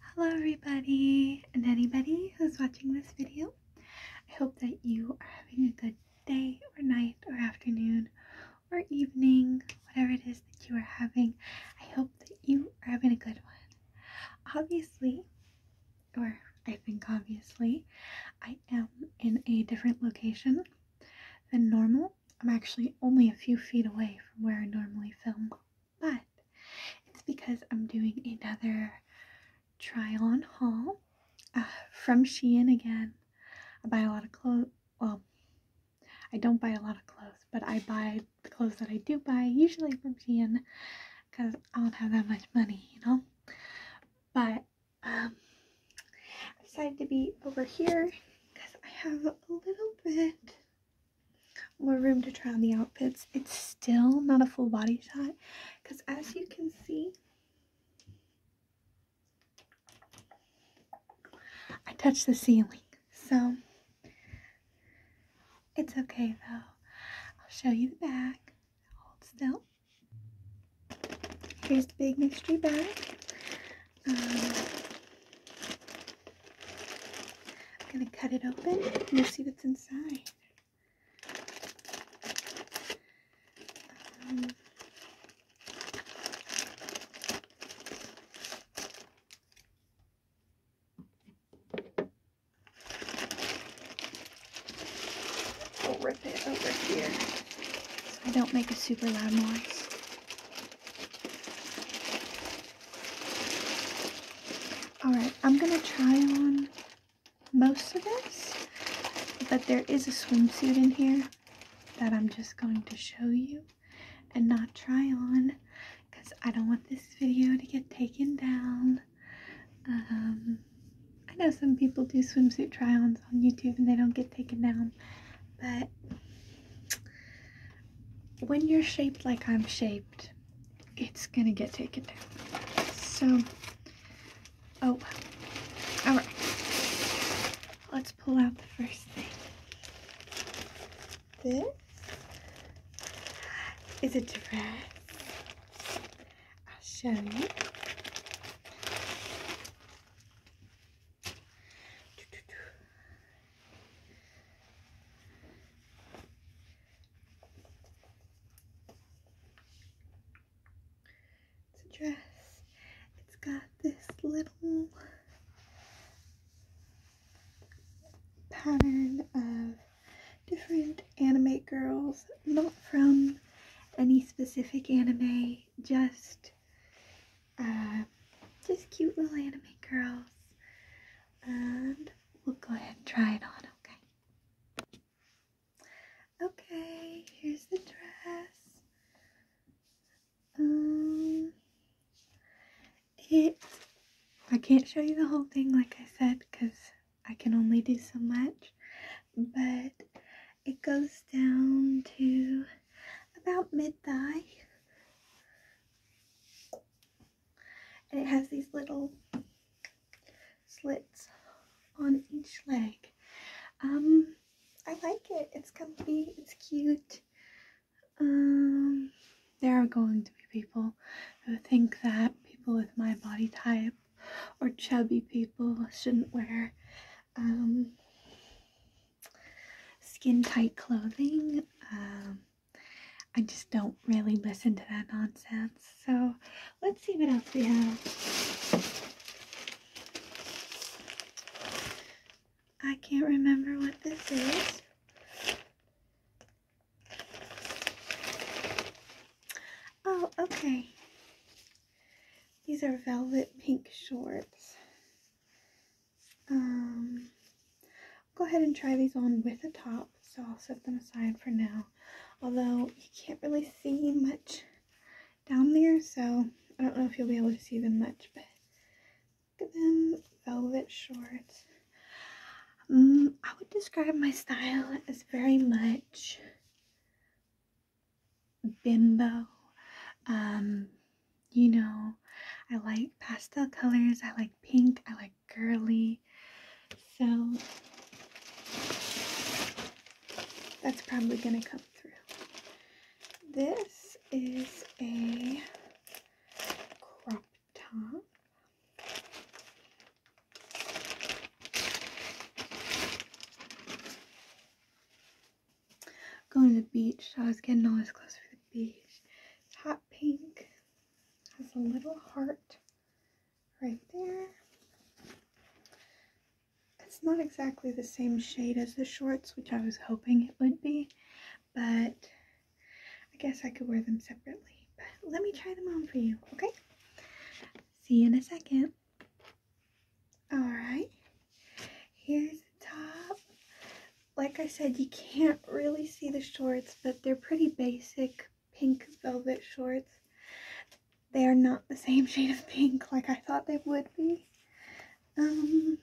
Hello everybody and anybody who's watching this video. I hope that you are having a good day or night or afternoon or evening, whatever it is that you are having. I hope that you are having a good one. Obviously, or I think obviously, I am in a different location than normal. I'm actually only a few feet away from where I normally film but it's because I'm doing another try on haul uh, from Shein again. I buy a lot of clothes. Well, I don't buy a lot of clothes, but I buy the clothes that I do buy, usually from Shein, because I don't have that much money, you know? But um, I decided to be over here because I have a little bit more room to try on the outfits. It's still not a full body shot because as you can see, I touched the ceiling. So it's okay though. I'll show you the back. Hold still. Here's the big mystery bag. I'm going to cut it open and see what's inside. I'll um, rip it over here so I don't make a super loud noise. Alright, I'm going to try on most of this, but there is a swimsuit in here that I'm just going to show you and not try on because I don't want this video to get taken down. Um, I know some people do swimsuit try-ons on YouTube and they don't get taken down, but when you're shaped like I'm shaped, it's gonna get taken down. So, oh, all right. Let's pull out the first thing. This is a dress. I'll show you. It's a dress. It's got this little pattern of different anime girls, not from any specific anime, just uh, just cute little anime girls. And we'll go ahead and try it on, okay? Okay, here's the dress. Um, it, I can't show you the whole thing like I said because I can only do so much, but it goes down to about mid-thigh and it has these little slits on each leg. Um, I like it. It's comfy. It's cute. Um, there are going to be people who think that people with my body type or chubby people shouldn't wear um, skin tight clothing. Um, I just don't really listen to that nonsense. So let's see what else we have. I can't remember what this is. Oh, okay. These are velvet pink shorts. Um, go ahead and try these on with the top. So I'll set them aside for now. Although you can't really see much down there, so I don't know if you'll be able to see them much, but look at them velvet shorts. Um, I would describe my style as very much bimbo, um, you know, I like pastel colors, I like pink, I like girly. So that's probably going to come through. This is a crop top. Going to the beach. I was getting all this close for the beach. hot pink. Has a little heart right there. It's not exactly the same shade as the shorts, which I was hoping it would be, but I guess I could wear them separately. But let me try them on for you, okay? See you in a second. Alright, Here's the top. Like I said, you can't really see the shorts, but they're pretty basic pink velvet shorts. They are not the same shade of pink like I thought they would be. Um,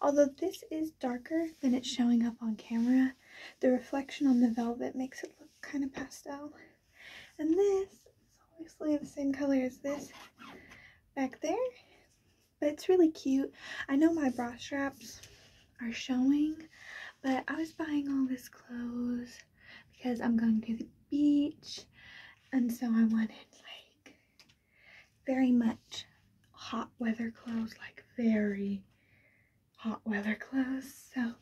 although this is darker than it's showing up on camera, the reflection on the velvet makes it look kind of pastel. And this is obviously the same color as this back there but it's really cute. I know my bra straps are showing, but I was buying all this clothes because I'm going to the beach, and so I wanted like very much hot weather clothes, like very hot weather clothes. So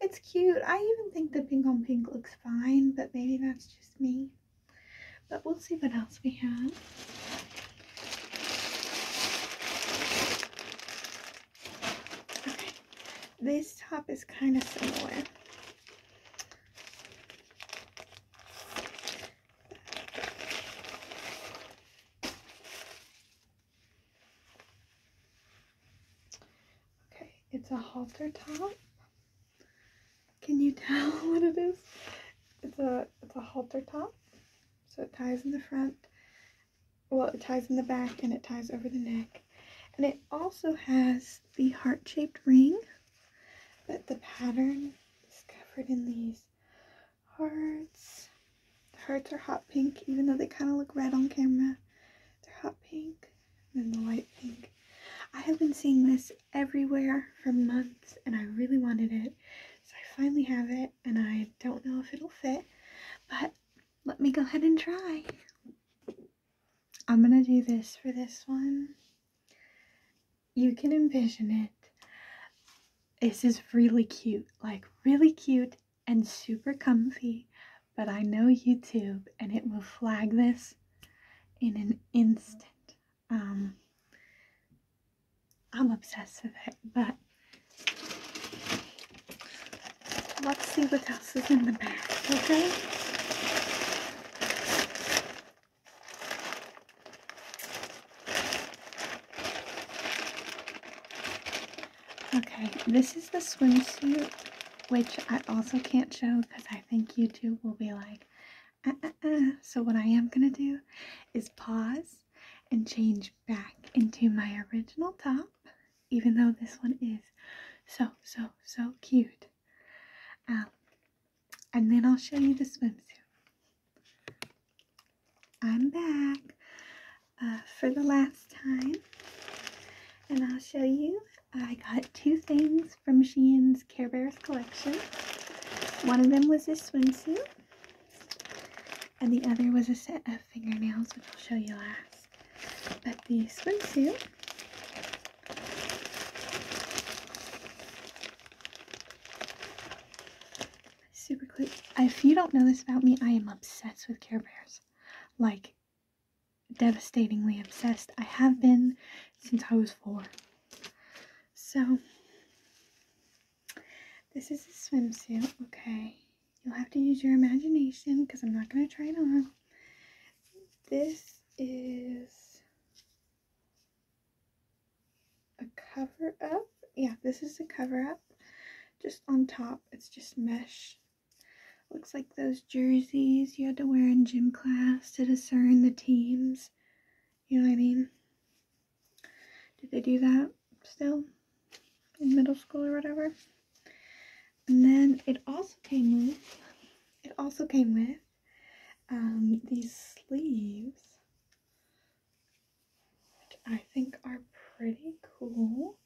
it's cute. I even think the pink on pink looks fine, but maybe that's just me. But we'll see what else we have. Okay, this top is kind of similar. Okay, it's a halter top. Can you tell what it is? It's a it's a halter top. So it ties in the front. Well, it ties in the back and it ties over the neck. And it also has the heart-shaped ring, but the pattern is covered in these hearts. The hearts are hot pink, even though they kind of look red on camera. They're hot pink and then the light pink. I have been seeing this everywhere for months and I really wanted it. So I finally have it and I don't know if it'll fit, but let me go ahead and try. I'm gonna do this for this one. You can envision it. This is really cute, like really cute and super comfy, but I know YouTube and it will flag this in an instant. Um, I'm obsessed with it, but let's see what else is in the bag, okay? Okay, this is the swimsuit, which I also can't show because I think YouTube will be like, uh, uh, uh. so what i am going to do is pause and change back into my original top even though this one is so so so cute um, and then i'll show you the swimsuit i'm back for the last time and i'll show you I got two things from Shein's Care Bears collection. One of them was this swimsuit, and the other was a set of fingernails, which I'll show you last. But the swimsuit super cute. If you don't know this about me, I am obsessed with Care Bears. Like, devastatingly obsessed I have been since I was four. So, this is a swimsuit, okay? You'll have to use your imagination because I'm not going to try it on. This is a cover up. Yeah, this is a cover up. Just on top, it's just mesh. Looks like those jerseys you had to wear in gym class to discern the teams. You know what I mean? Did they do that still in middle school or whatever? And then it also came with, it also came with um, these sleeves, which I think are pretty cool.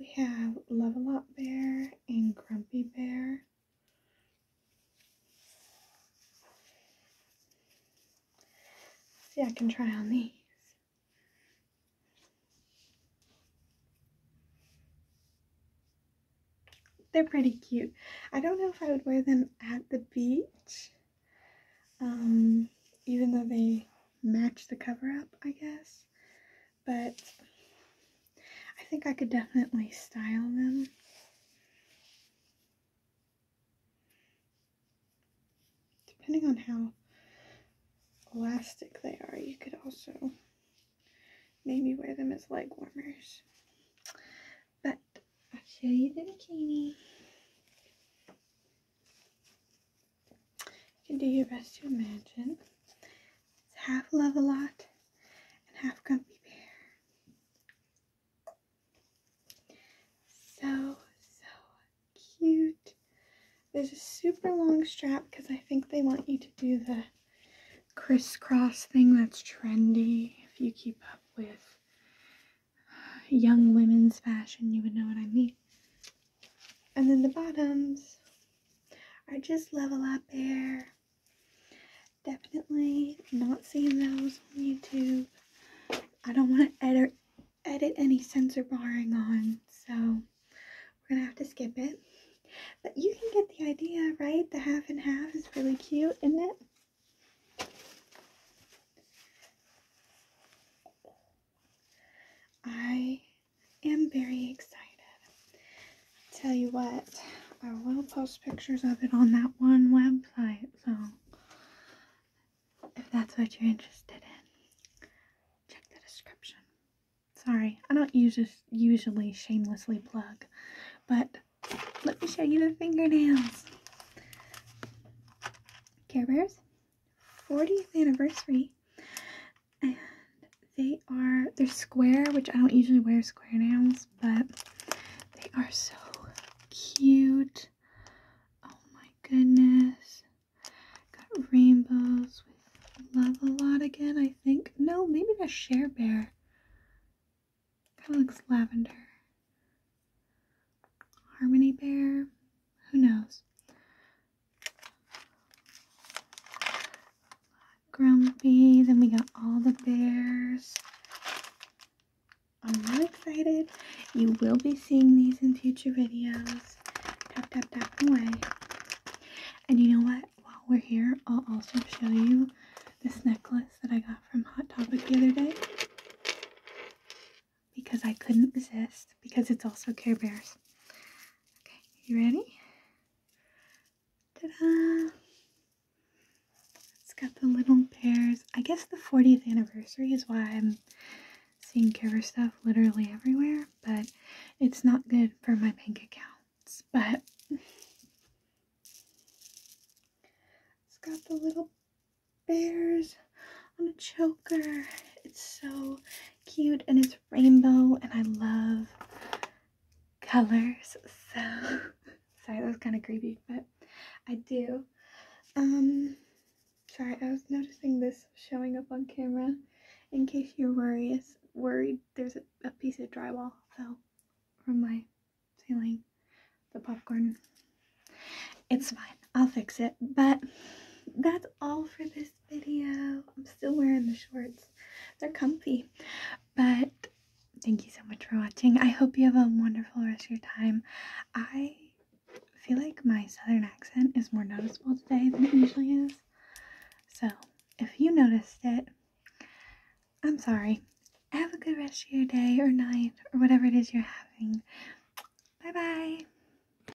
We have Level Up Bear and Grumpy Bear. See, I can try on these. They're pretty cute. I don't know if I would wear them at the beach, um, even though they match the cover up, I guess but I think I could definitely style them. Depending on how elastic they are, you could also maybe wear them as leg warmers. But I'll show you the bikini. You can do your best to imagine. It's half love a lot and half grumpy bear. So, so cute. There's a super long strap because I think they want you to do the crisscross thing that's trendy. If you keep up with uh, young women's fashion, you would know what I mean and then the bottoms are just level up there. Definitely not seeing those on YouTube. I don't want to edit edit any sensor barring on, so we're gonna have to skip it. But you can get the idea, right? The half and half is really cute, isn't it? I am very excited. Tell you what, I will post pictures of it on that one website, so if that's what you're interested in, check the description. Sorry, I don't usually shamelessly plug, but let me show you the fingernails. Care Bears 40th anniversary and they are they're square, which I don't usually wear square nails, but they are so cute. Oh my goodness. Got rainbows with love a lot again, I think. No, maybe that's Share Bear. Kind of looks lavender. Harmony Bear. Who knows? Grumpy. Then we got all the bears. I'm really excited. You will be seeing these in future videos. Tap, tap, tap away. And you know what? While we're here, I'll also show you this necklace that I got from Hot Topic the other day. Because I couldn't resist. Because it's also Care Bears. Okay, you ready? Ta-da! It's got the little bears. I guess the 40th anniversary is why I'm seeing cover stuff literally everywhere, but it's not good for my bank accounts. But it's got the little bears on a choker. It's so cute and it's rainbow and I love colors. So sorry, that was kind of creepy, but I do. Um, sorry, I was noticing this showing up on camera. In case you're worried, worried there's a, a piece of drywall fell from my ceiling. The popcorn. It's fine. I'll fix it. But that's all for this video. I'm still wearing the shorts. They're comfy. But thank you so much for watching. I hope you have a wonderful rest of your time. I feel like my southern accent is more noticeable today than it usually is. So if you noticed it, I'm sorry. Have a good rest of your day or night or whatever it is you're having. Bye bye.